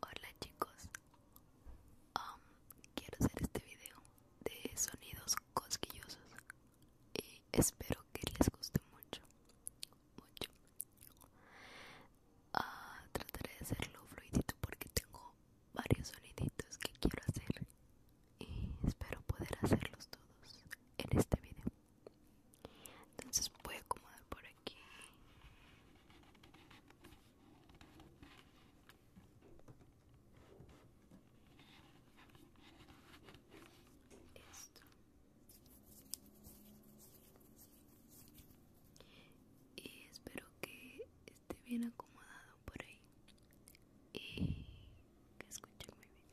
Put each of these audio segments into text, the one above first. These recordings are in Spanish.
Hola chicos, quiero hacer este video de sonidos cosquillosos y espero que les guste mucho, mucho. Ah, trataré de hacerlo fluidito porque tengo varios soniditos que quiero hacer y espero poder hacerlos todos en este video entonces voy a acomodar por aquí esto y espero que esté bien acomodado por ahí y que escuchen muy bien.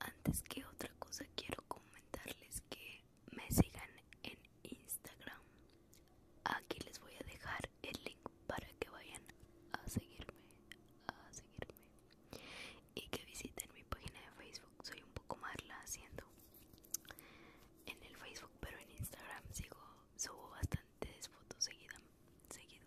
Antes que otra cosa quiero comentarles que me sigan en Instagram. Aquí les voy a dejar el link para que vayan a seguirme, a seguirme y que visiten mi página de Facebook. Soy un poco más la haciendo en el Facebook, pero en Instagram sigo, subo bastantes fotos seguida, seguido.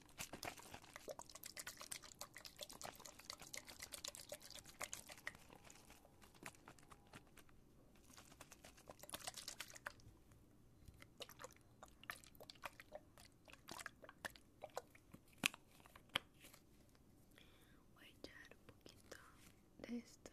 Voy a echar un poquito de esto. A ver si.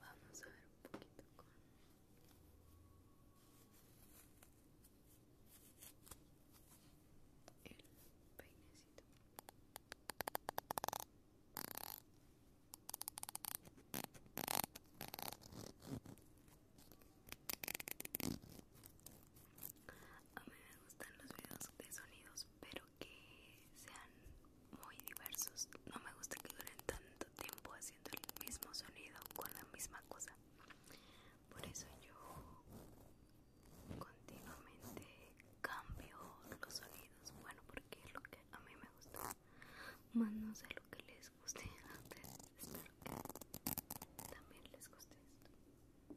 Vamos a ver un poquito con el peinecito. A mí me gustan los videos de sonidos, pero que sean muy diversos. No me gusta que duren tanto tiempo haciendo el mismo sonido con la misma cosa. Por eso yo continuamente cambio los sonidos. Bueno, porque es lo que a mí me gusta. Más no sé lo que les guste antes Espero que también les guste esto.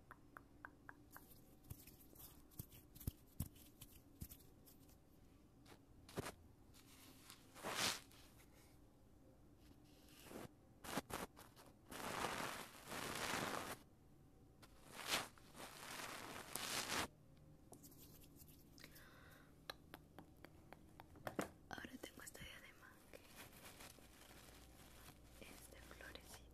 Ahora tengo esta de que este florecito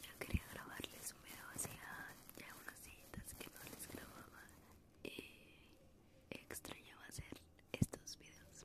yo quería grabarles un video hacía ah, ya unas citas que no les grababa y extrañaba hacer estos videos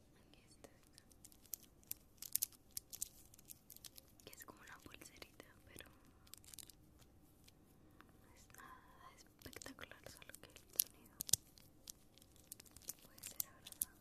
Aquí está Que es como una pulserita, pero no es nada espectacular, solo que el sonido puede ser agradable.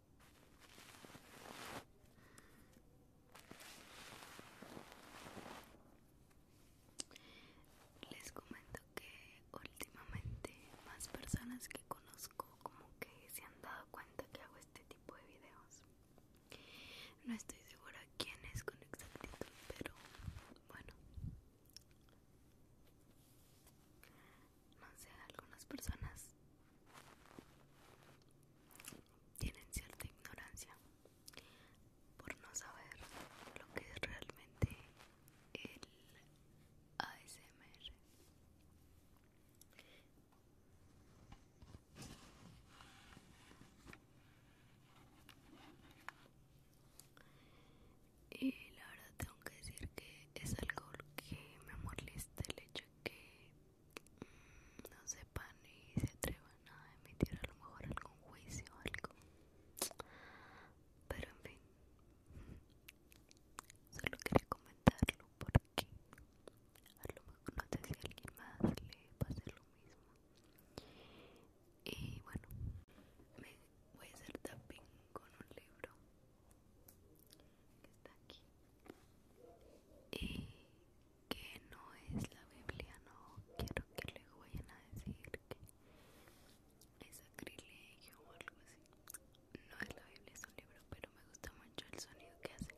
Les comento que últimamente más personas que conozco como que se han dado cuenta que hago este tipo de videos. No estoy segura quién es con exactitud, pero bueno no sé, algunas personas tienen cierta ignorancia por no saber lo que es realmente el ASMR. Y la verdad tengo que decir que es algo que me molesta el hecho que mm, no sepan y se atrevan a emitir a lo mejor algún juicio o algo. Pero en fin, solo quería comentarlo porque a lo mejor no sé si alguien más le pase lo mismo. Y bueno, me voy a hacer tapping con un libro que está aquí y que no es la Biblia, no quiero que luego vayan a decir que es sacrilegio o algo así. No es la Biblia, es un libro, pero me gusta mucho el sonido que hace.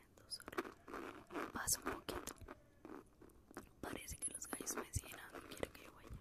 Entonces, pasa un poquito parece que los gallos me siguen quiero que yo vaya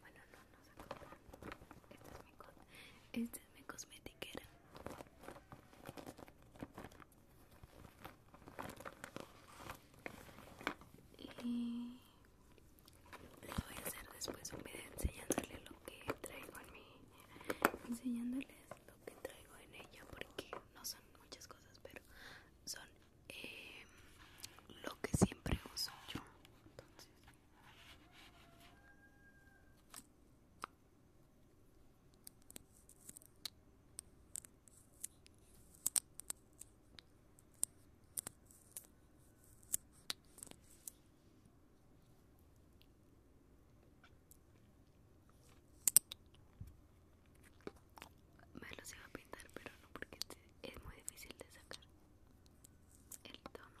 Bueno, no, no se compra. Esta es mi, co Y Lo voy a hacer después un video lo que traigo en mi enseñándoles lo que traigo en ella porque no son muchas cosas pero son eh, lo que siempre uso yo me se iba a pintar, pero no porque es muy difícil de sacar el tono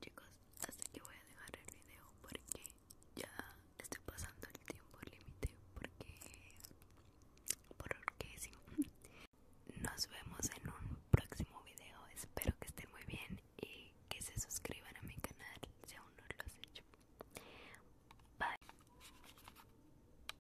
Chicos, Así que voy a dejar el video porque ya estoy pasando el tiempo límite porque por Nos vemos en un próximo video. Espero que estén muy bien y que se suscriban a mi canal si aún no lo has hecho. Bye.